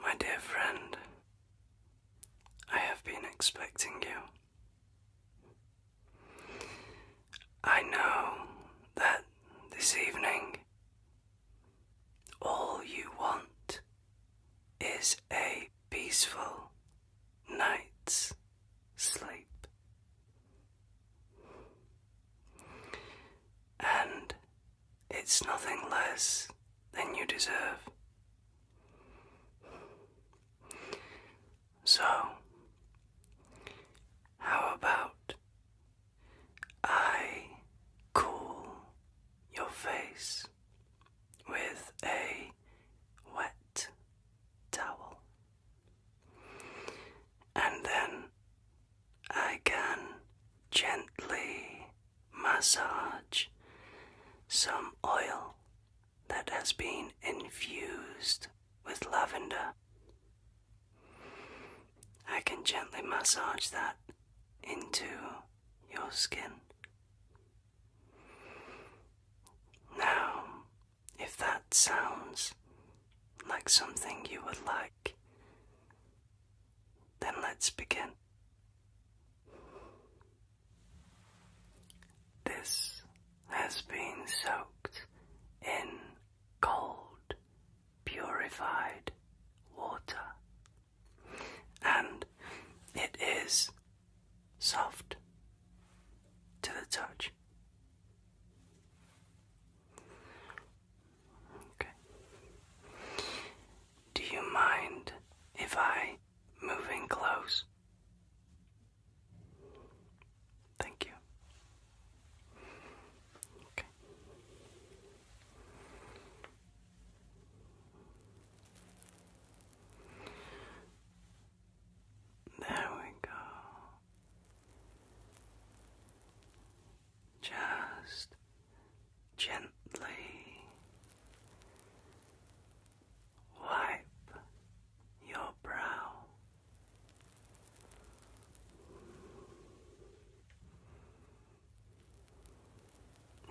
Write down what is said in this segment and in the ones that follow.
My dear friend, I have been expecting you. I know that this evening all you want is a peaceful night's sleep. And it's nothing less than you deserve. So, how about I cool your face with a wet towel? And then I can gently massage some oil that has been infused with lavender. I can gently massage that into your skin. Now, if that sounds like something you would like then let's begin. This has been soaked in cold, purified water, and it is soft to the touch. Okay. Do you mind if I move in close? Thank you. Okay. There we go. Just gently wipe your brow.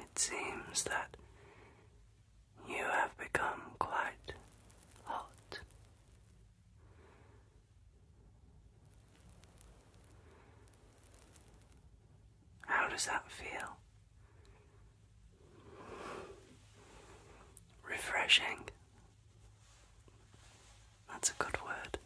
It seems that you have become quite hot. How does that feel? Refreshing. That's a good word.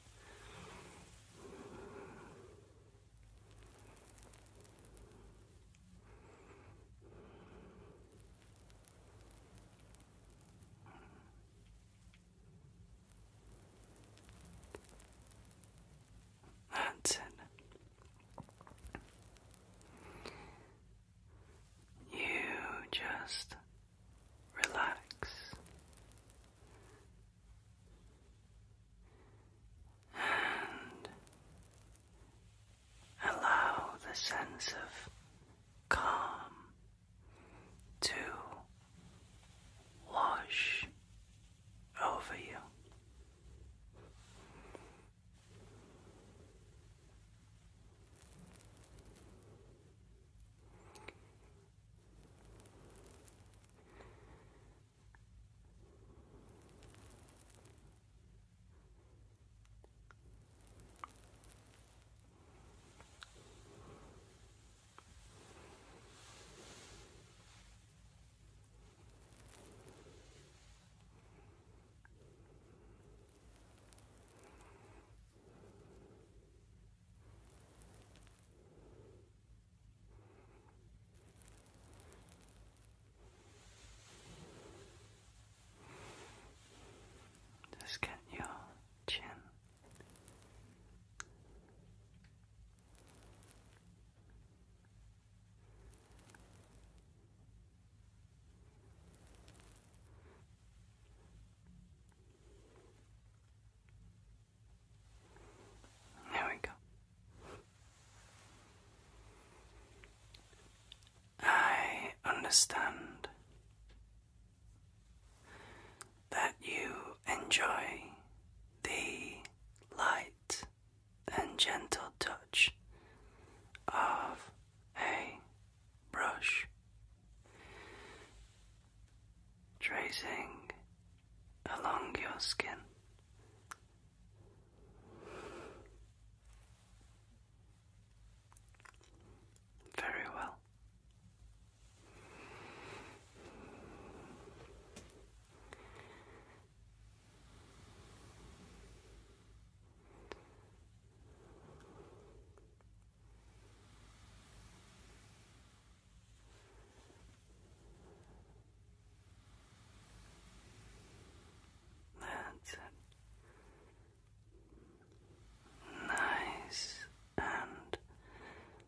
That's it. You just relax and allow the sense of calm to wash over you. Just get your chin there we go. I understand that you enjoy the light and gentle touch of a brush, tracing along your skin. Very well. That's it. Nice and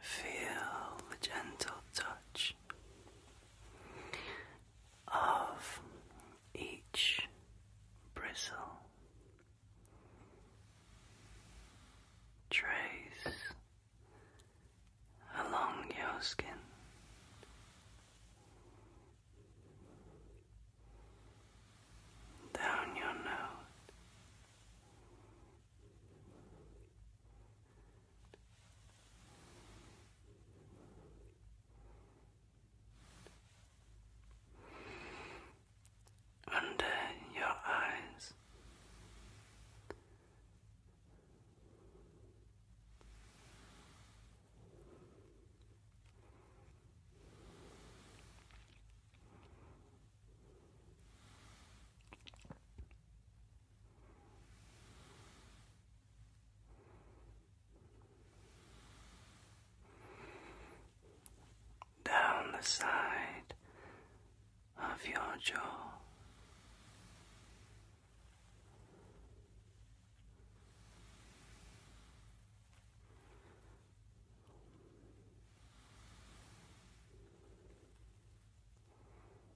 Feel the gentle touch of each bristle. Trace along your skin. Down your nose, under your eyes down the side of your jaw.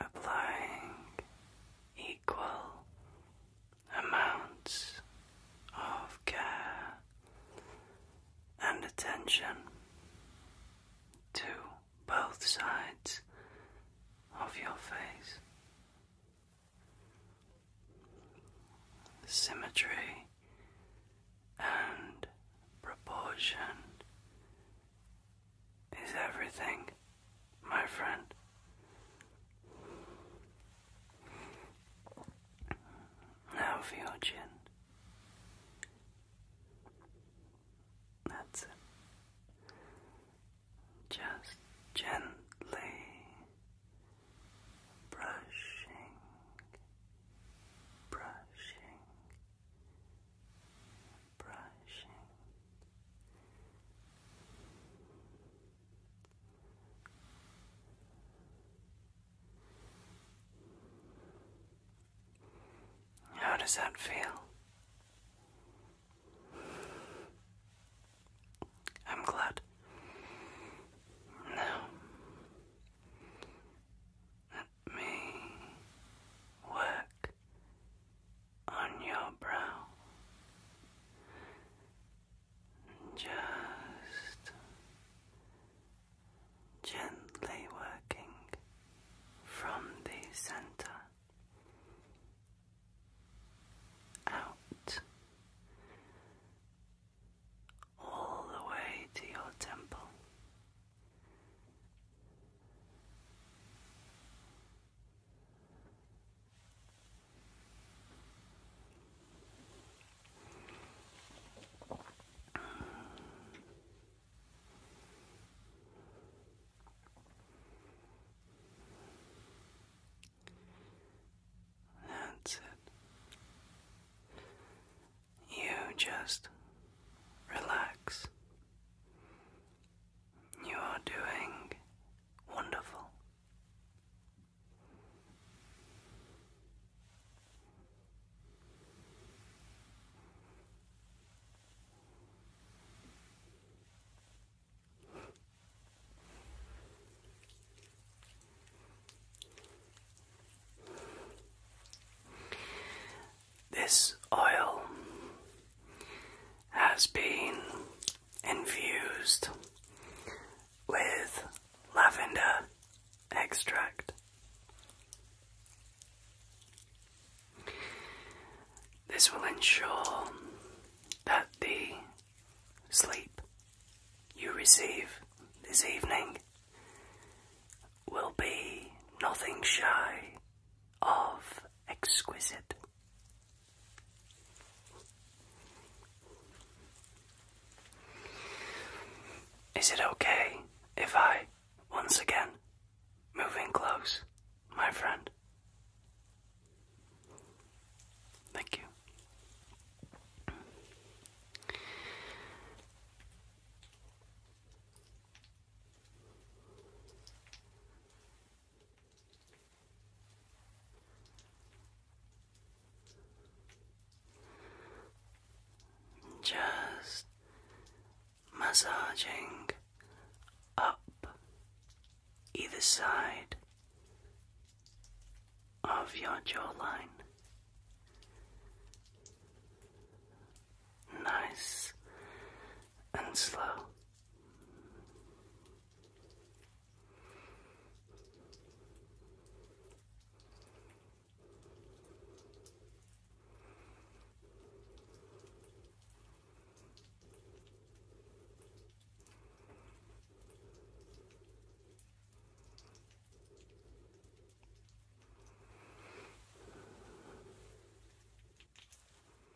applying equal amounts of care and attention to both sides of your face. Symmetry and proportion is everything, my friend. Now for That's it. Just gently brushing, brushing, brushing how does that feel? I'm glad. No me work on your brow. Just gently working from the center out all the way to your temple. That's it. You just relax you are doing wonderful. This oil has been infused with lavender extract. This will ensure that the sleep you receive this evening will be nothing shy of exquisite. Is it okay if I, once again, move in close, my friend? Thank you. Just massaging up either side of your jawline. Nice and slow.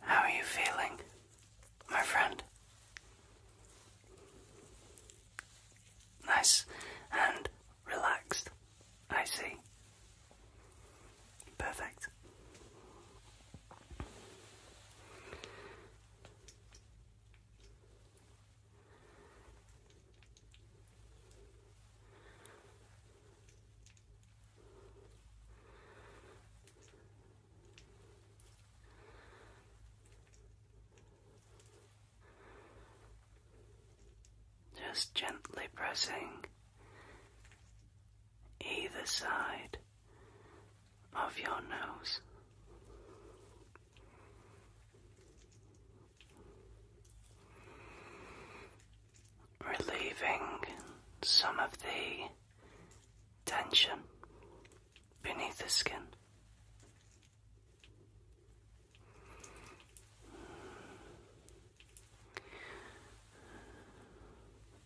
How are you feeling, my friend? Nice and relaxed, I see. Perfect. Just gently pressing either side of your nose. Relieving some of the tension beneath the skin.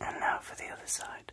And now for the other side.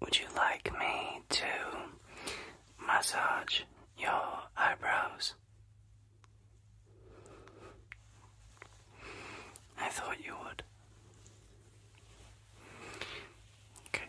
Would you like me to massage your eyebrows? I thought you would. Okay.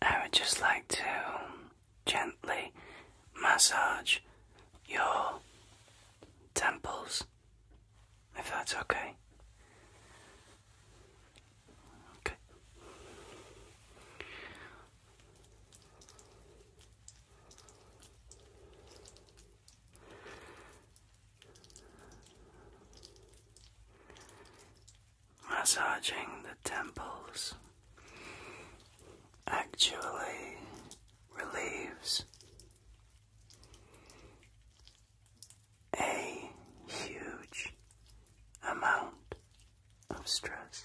I would just like to gently massage your temples, if that's okay. Okay. Massaging the temples actually relieves a huge amount of stress.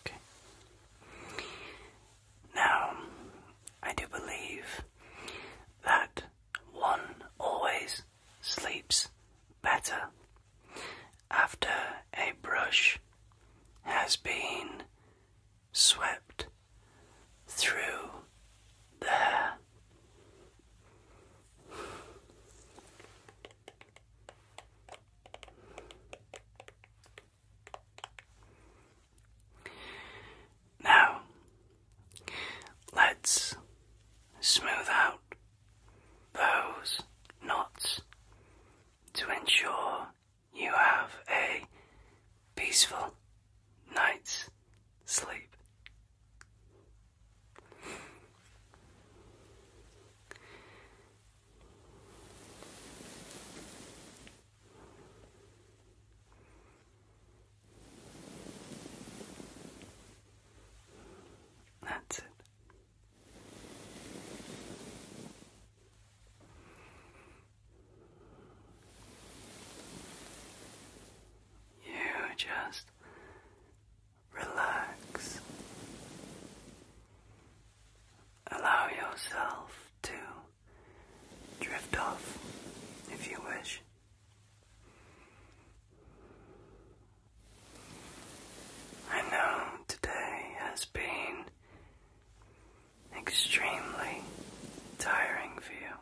Okay. Now, I do believe that one always sleeps better after a brush has been swept through the hair. Now, let's smooth out those knots to ensure you have a peaceful night's sleep. That's it. You just relax. Allow yourself to drift off if you wish. I know today has been extremely tiring for you.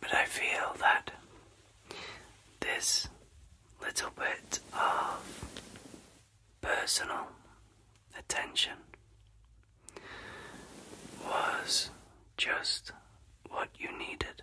But I feel that this little bit of personal attention was just what you needed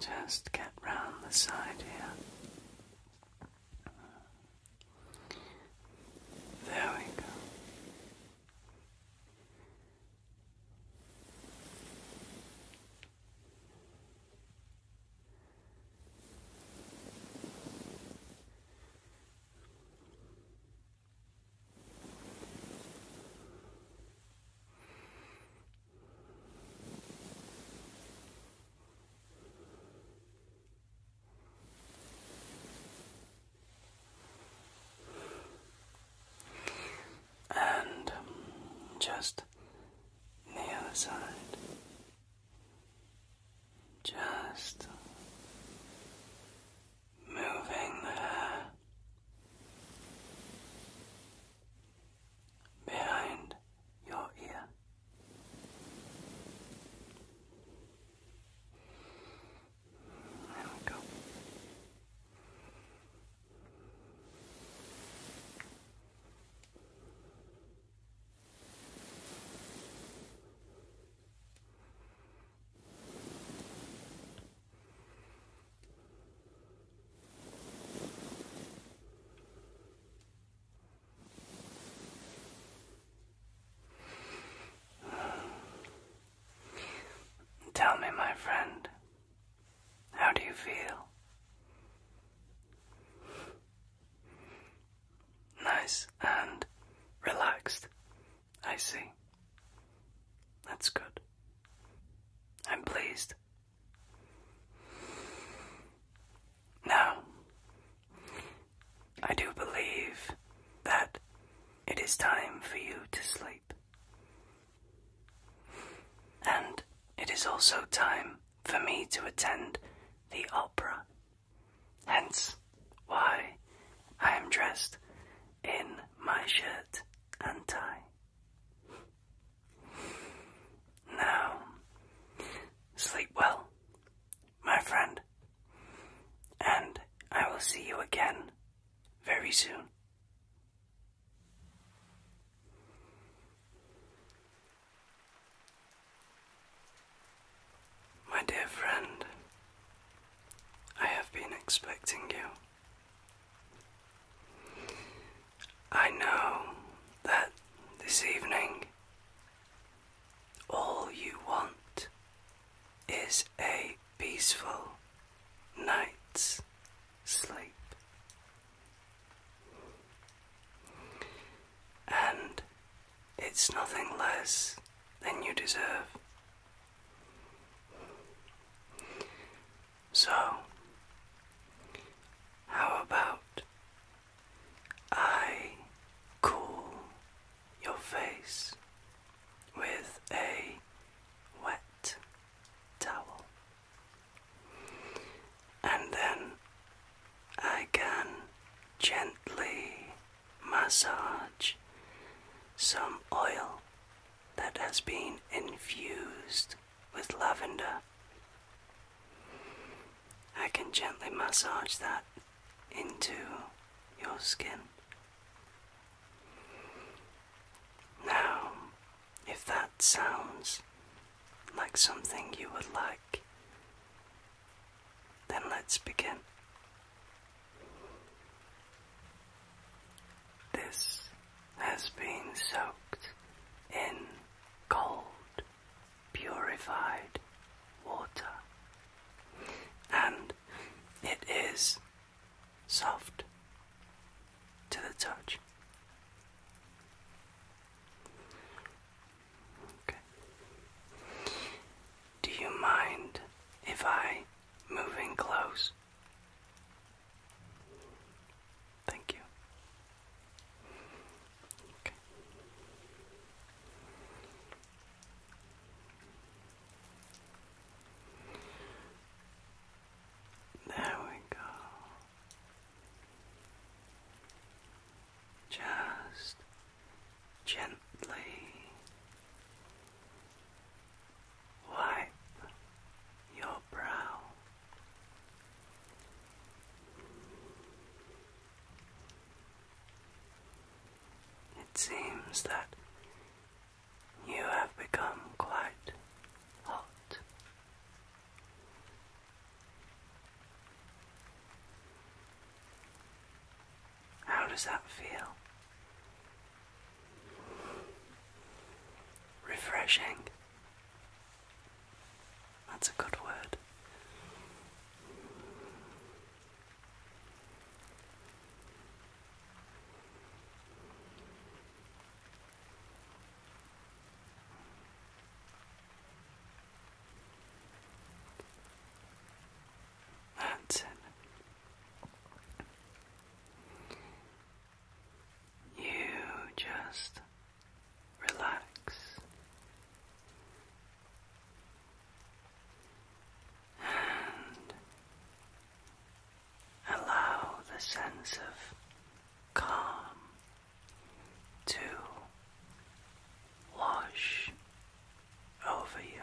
Just get round the side here. There we go. And um, just the other side, just moving there behind your ear. There we go. Tell me, my friend, how do you feel? Nice and relaxed, I see. That's good. I'm pleased now, I do believe that it is time for you to sleep. And it is also time for me to attend the opera. Hence why I am dressed in my shirt and tie. Now, sleep well, my friend, and I will see you again very soon. My dear friend, I have been expecting you. I know that this evening all you want is a peaceful night's sleep. And it's nothing less than you deserve. So, how about I cool your face with a wet towel? And then I can gently massage some oil that has been infused with lavender. I can gently massage that into your skin. Now, if that sounds like something you would like, then let's begin. This has been soaked in cold, purified water, and it is soft to the touch. Okay. Do you mind if I move in close? Thank you. Okay. There we go. Just gently wipe your brow it seems that you have become quite hot. How does that feel? Refreshing. That's a good word. That's it. You just relax. And allow the sense of calm to wash over you.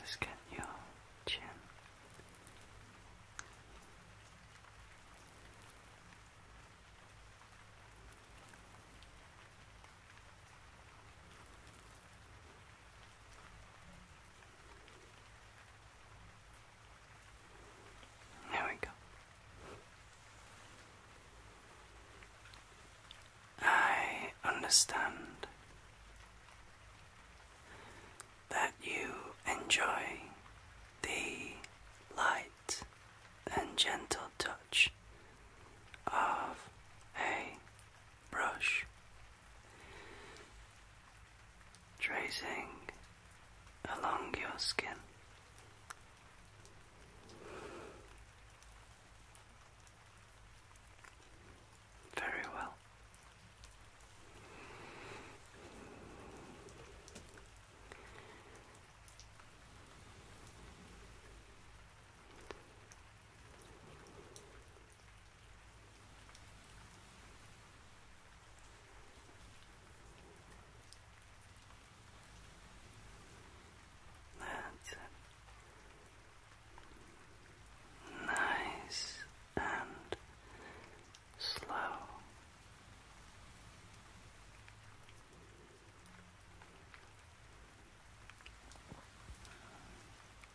Just get your chin. There we go. I understand that you enjoy the light and gentle touch of a brush, tracing along your skin. Very well. That's it. Nice and slow.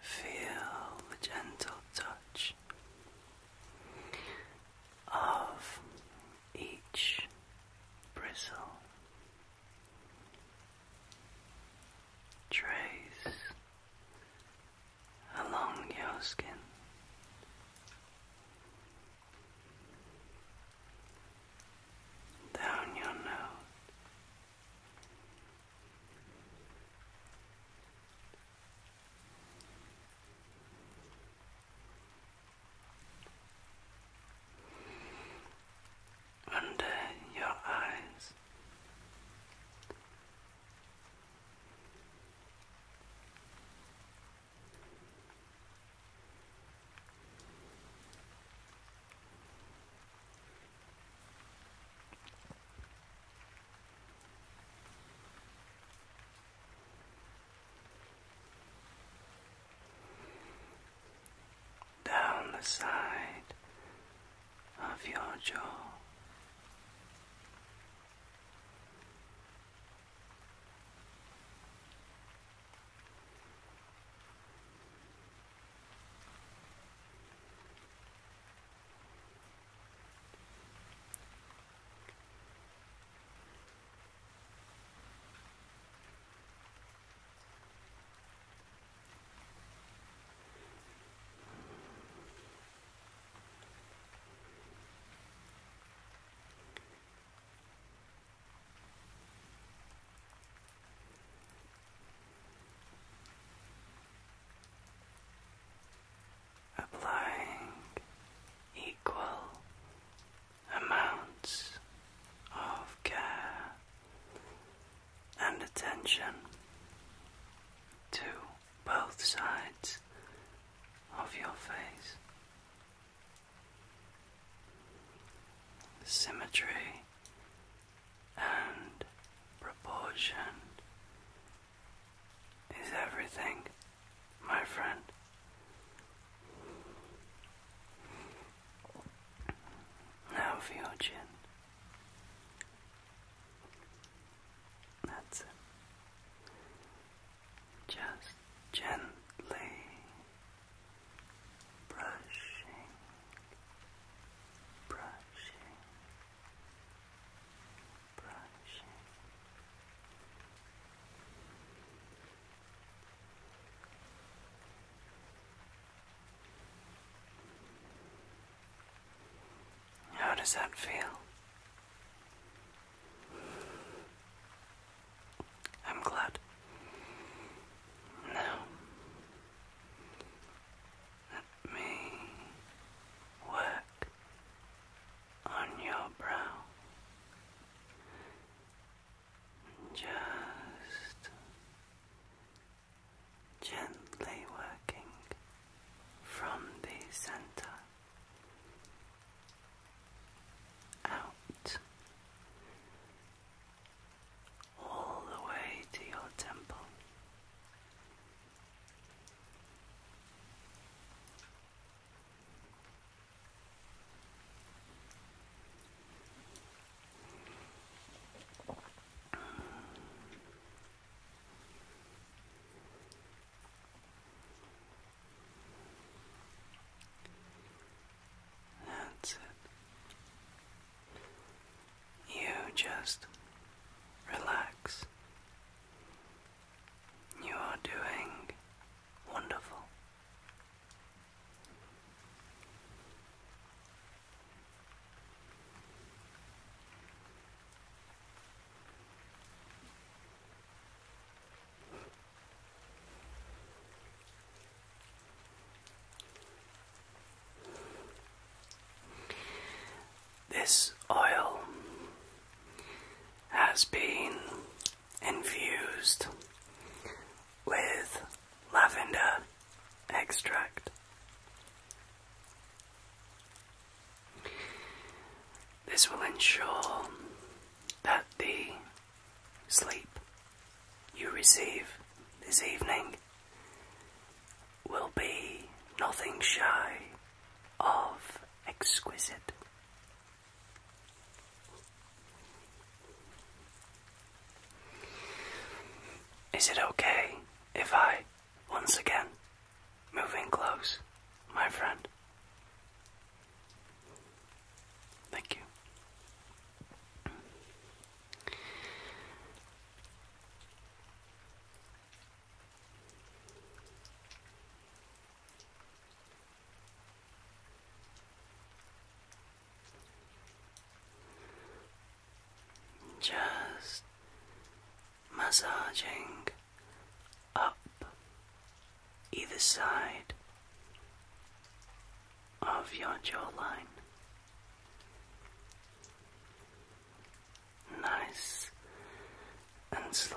Feel the gentle touch of each bristle trace along your skin. Down your nose, under your eyes down the side of your jaw. Applying equal amounts of care and attention to both sides of your face. Symmetry and proportion is everything, my friend. Now for your chin. That's Just gently brushing, brushing, brushing. How does that feel? I'm glad. Now, let me work on your brow just gently working from the center out all the way to your temple. That's it. You just relax. You are doing wonderful. This oil has been infused with lavender extract. This will ensure that the sleep you receive this evening will be nothing shy of exquisite. Is it okay if I, once again, move in close, my friend? Thank you just massaging up either side of your jawline. Nice and slow.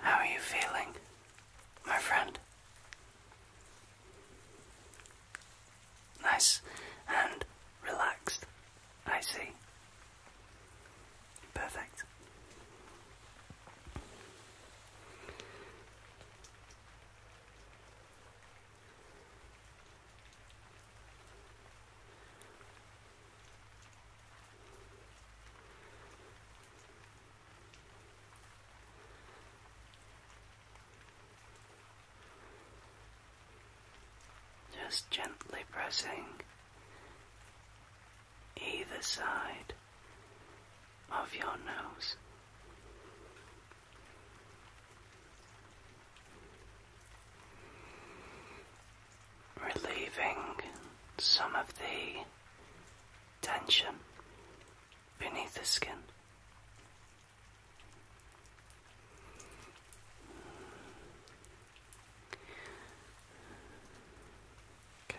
How are you feeling, my friend? Nice and relaxed, I see. Perfect. Just gently pressing either side of your nose relieving some of the tension beneath the skin. Okay.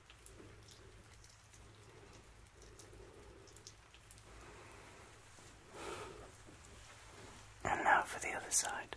And now for the other side.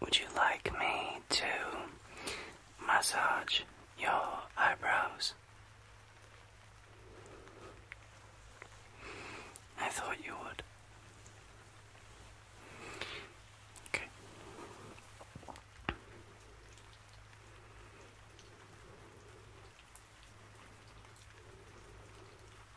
Would you like me to massage your eyebrows? I thought you would. Okay.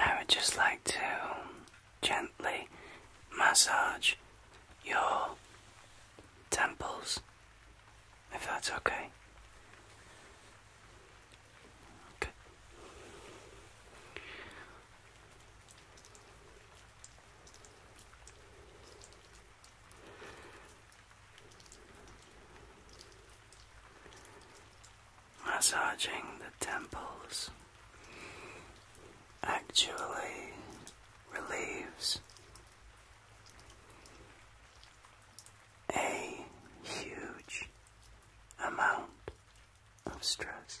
I would just like to gently massage your temples if that's okay. Good. Massaging the temples actually relieves a huge amount of stress.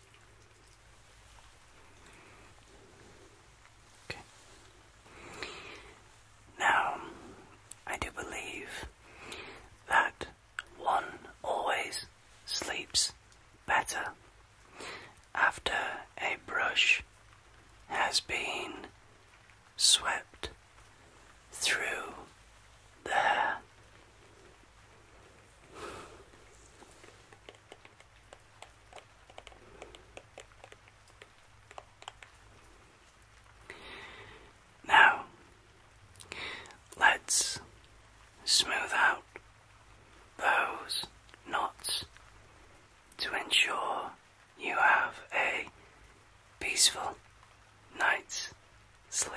Okay. Now, I do believe that one always sleeps better after a brush has been swept through the hair. Now, let's smooth out those knots to ensure you have a peaceful night's sleep.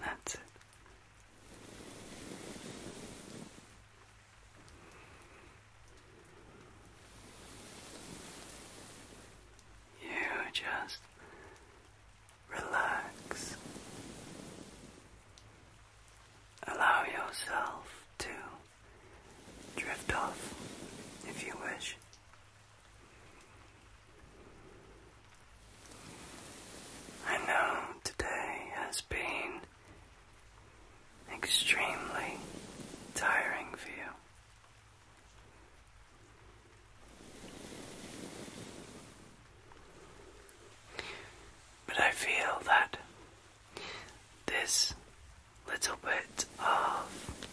That's it. You just relax. Allow yourself to drift off if you wish. I know today has been extremely tiring for you. But I feel that this little bit of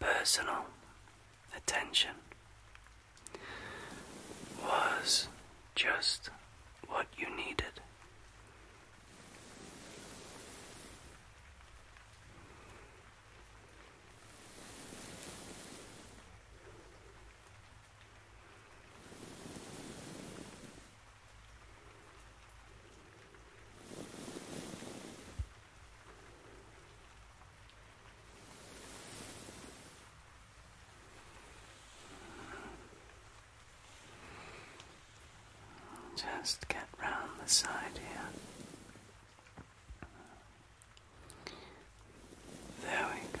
personal attention was just what you needed. Just get round the side here. There we go.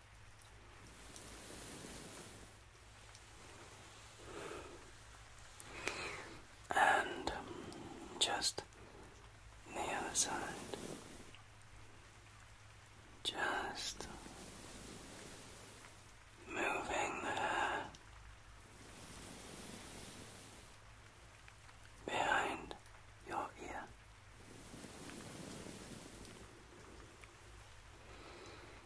and um, just the other side. Just moving there behind your ear.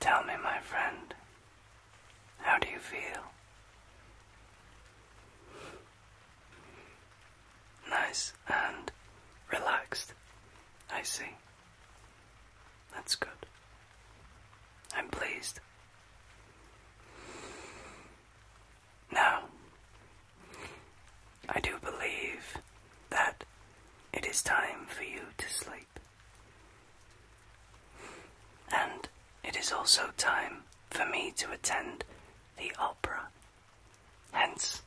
Tell me, my friend, how do you feel? Nice and relaxed, I see. That's good. I'm pleased. Now, I do believe that it is time for you to sleep. And it is also time for me to attend the opera. Hence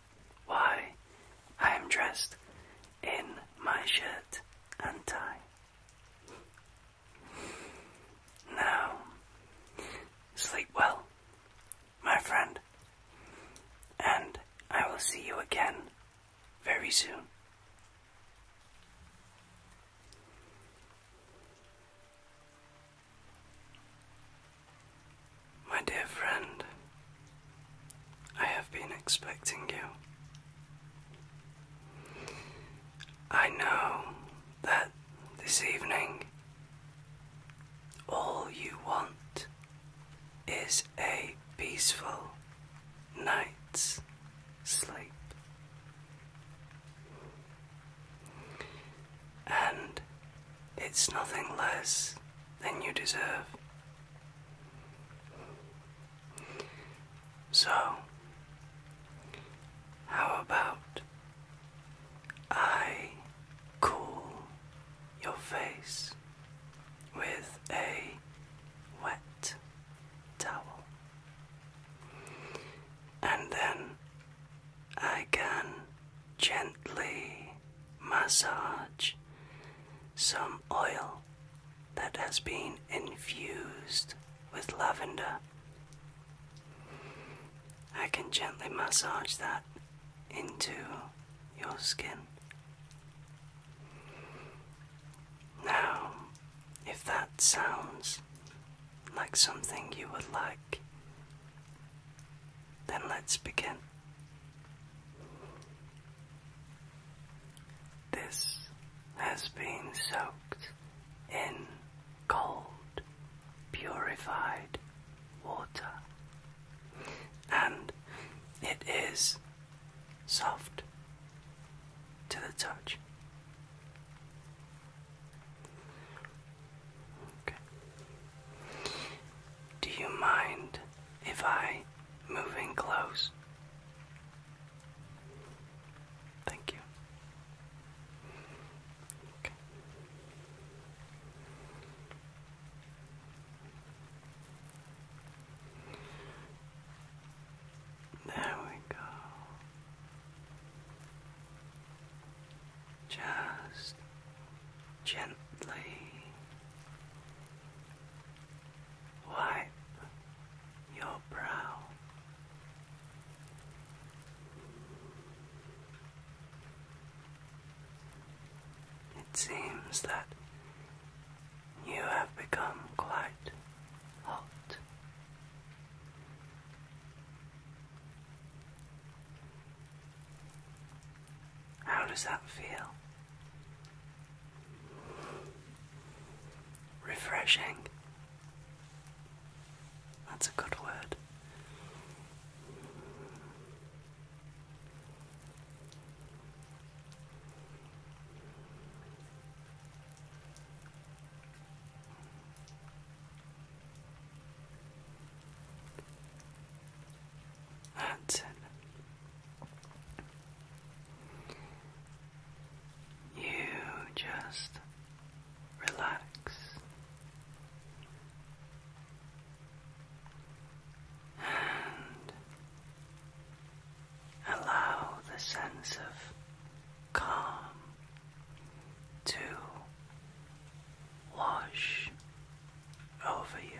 why I am dressed in my shirt and tie. Now, sleep well, my friend, and I will see you again very soon. My dear friend, I have been expecting you. I know that this evening all you want is a peaceful night's sleep. And it's nothing less than you deserve. So, how about I call your face with a wet towel. And then I can gently massage some oil that has been infused with lavender. I can gently massage that into your skin. Now, if that sounds like something you would like, then let's begin. This has been soaked in cold, purified water and it is soft to the touch. Do you mind if I move in close? Thank you. There we go. Just gently wipe your brow. It seems that you have become quite hot. How does that feel? Refreshing. That's a good word. That's it. You just relax and allow the sense of calm to wash over you.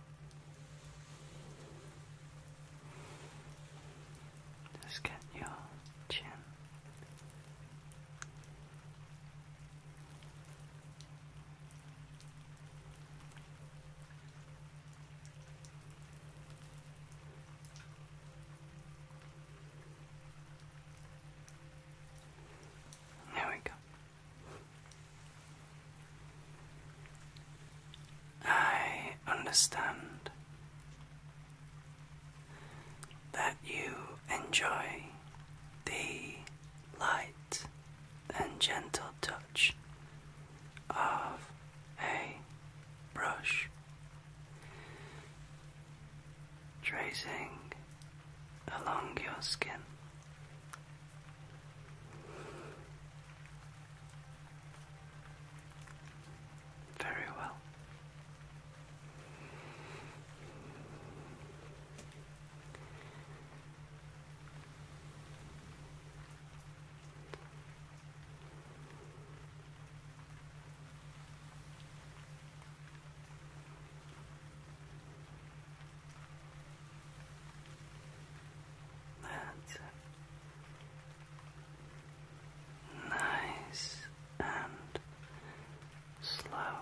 Just get your chin. There we go. I understand that you enjoy the light and gentle touch of a brush tracing along your skin. Very well. That's nice and slow.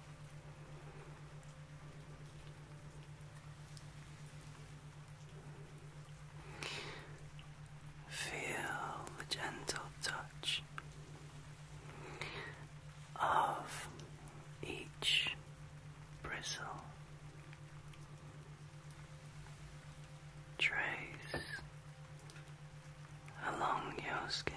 Feel the gentle touch of each bristle. Trace along your skin.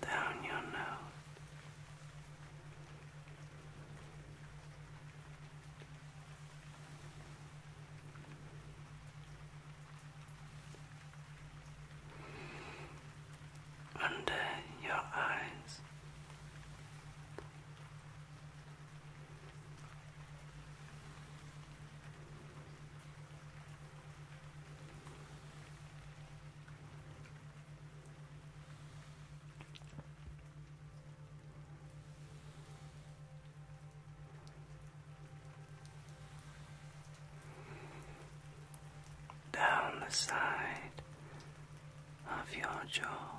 Down your nose, under your eyes, down the side of your jaw.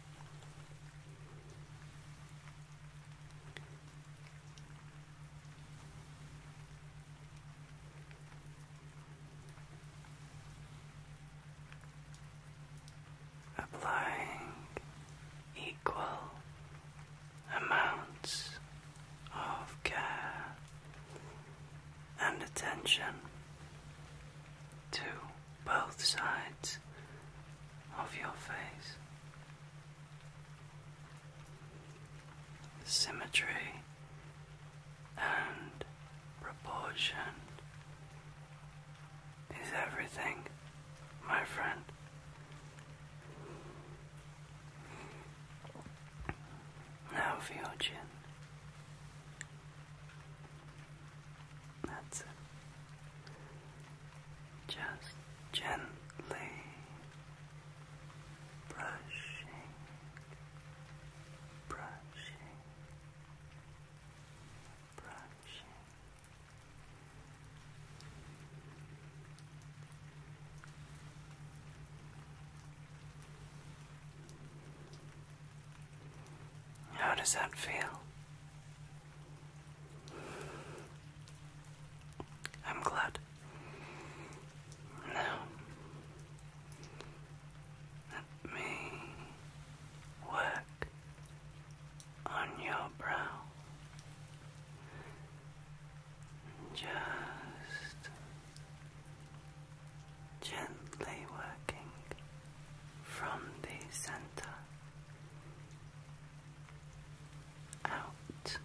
Applying equal amounts of care and attention to both sides of your face symmetry and proportion is everything, my friend. Now for That's it just gently brushing, brushing, brushing. How does that feel? I'm glad. Now, let me work on your brow. Just gently working from the center out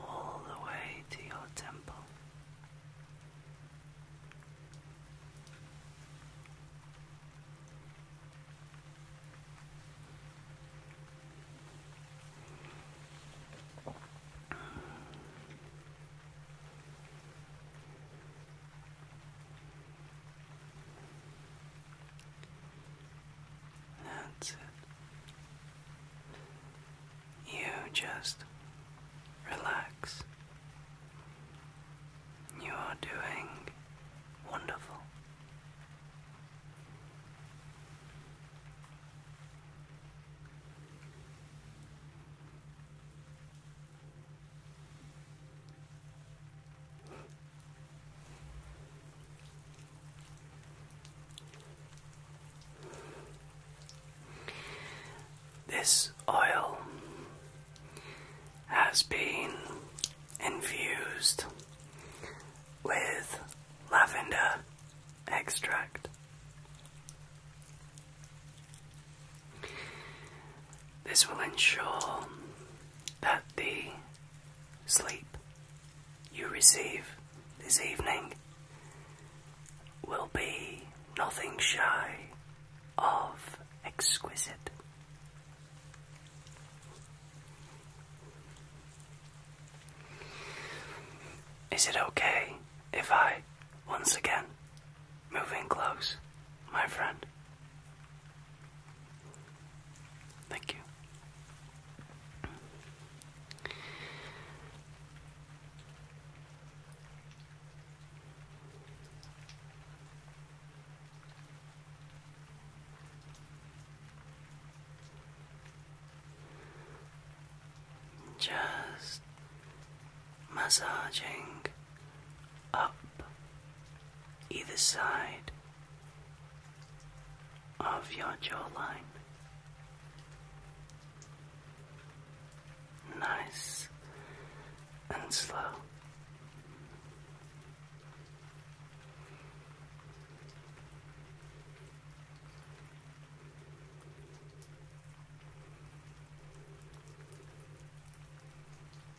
all the way to your temple. That's it. You just relax. You are doing wonderful. This oil has been infused with lavender extract. This will ensure that the sleep you receive this evening will be nothing shy of exquisite. Is it okay if I once again move in close, my friend? Thank you. Just massaging up either side of your jawline. Nice and slow.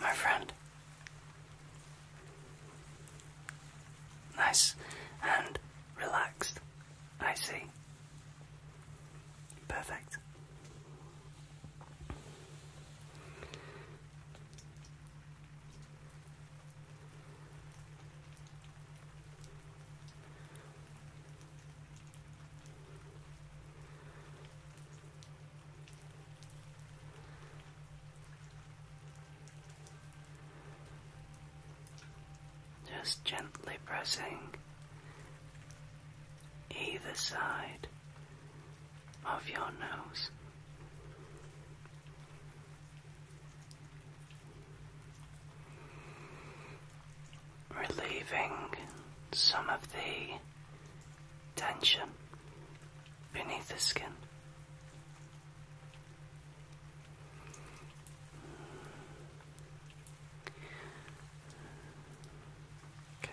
my friend. Nice and relaxed, I see. Perfect. Just gently pressing either side of your nose. Relieving some of the tension beneath the skin. Okay.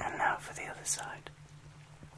And now for the other side.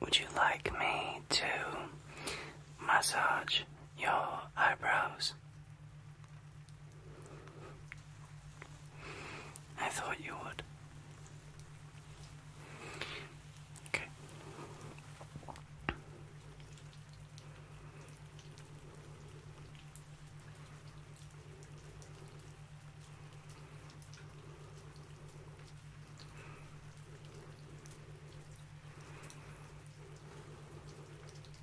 Would you like me to massage your eyebrows? I thought you would. Okay.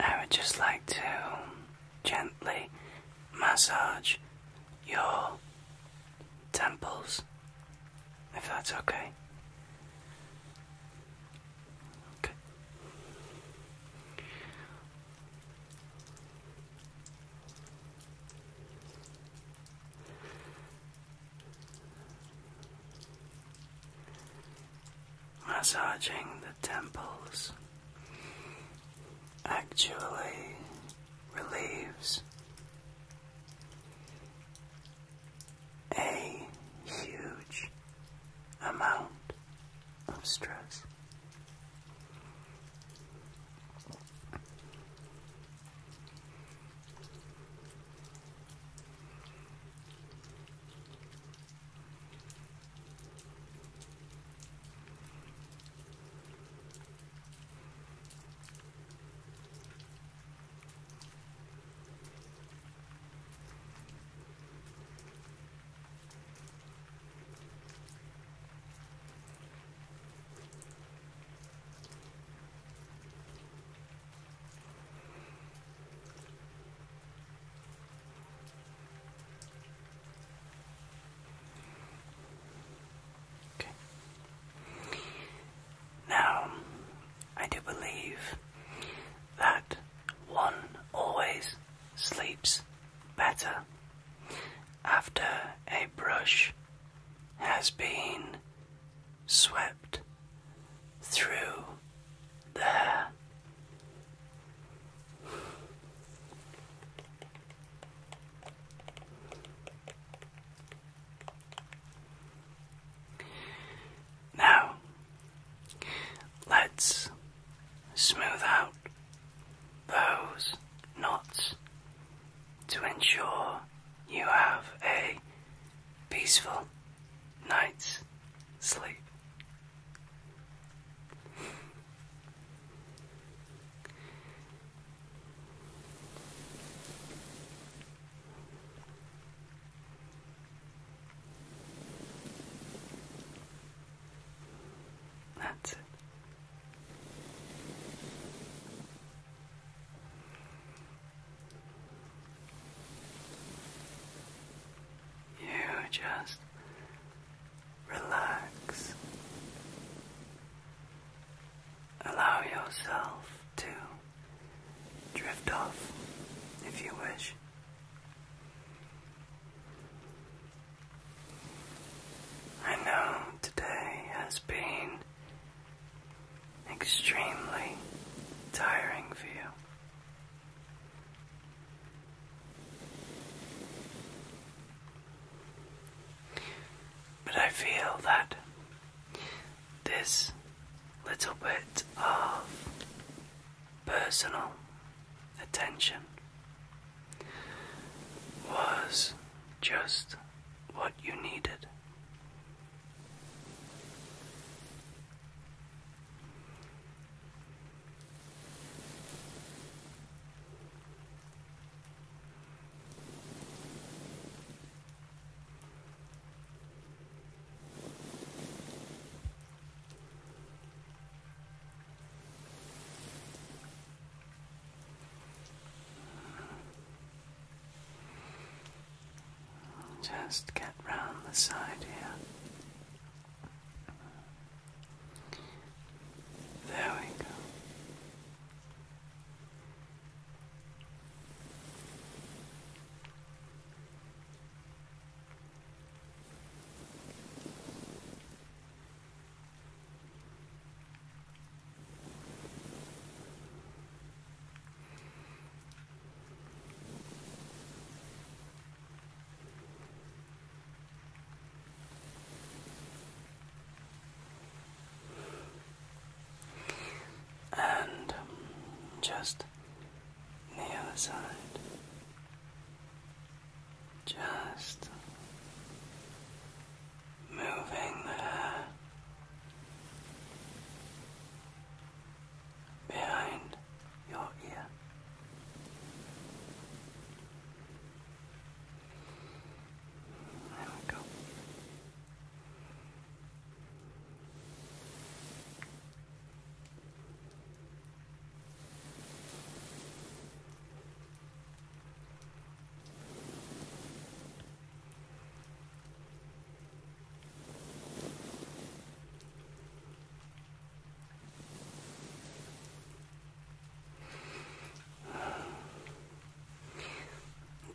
I would just like to gently massage your temples, if that's okay. Massaging the temples actually relieves a huge amount of stress. Okay. Now, I do believe that one always sleeps better after a brush has been swept through the hair. Now, let's smooth out those knots to ensure you have a peaceful night's sleep. That's it. You just relax. Allow yourself to drift off if you wish. I know today has been extremely tiring for you. But I feel that this little bit of personal attention was just what you needed. Just get round the side here. There we go. And um, just the other side. Just moving there behind your ear. There we go.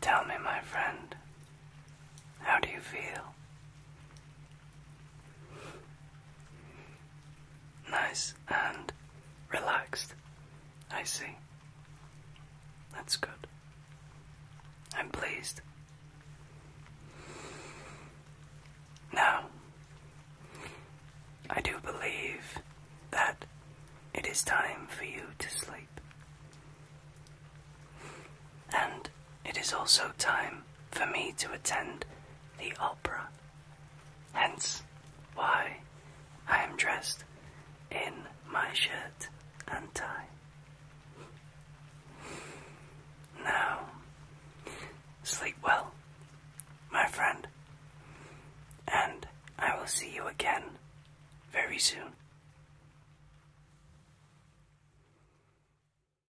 Tell me, my friend, how do you feel? Nice and relaxed. I see. That's good. I'm pleased. Now, I do believe that it is time for you to sleep and it is also time for me to attend the opera. Hence why I am dressed in my shirt and tie. Now, sleep well, my friend, and I will see you again very soon.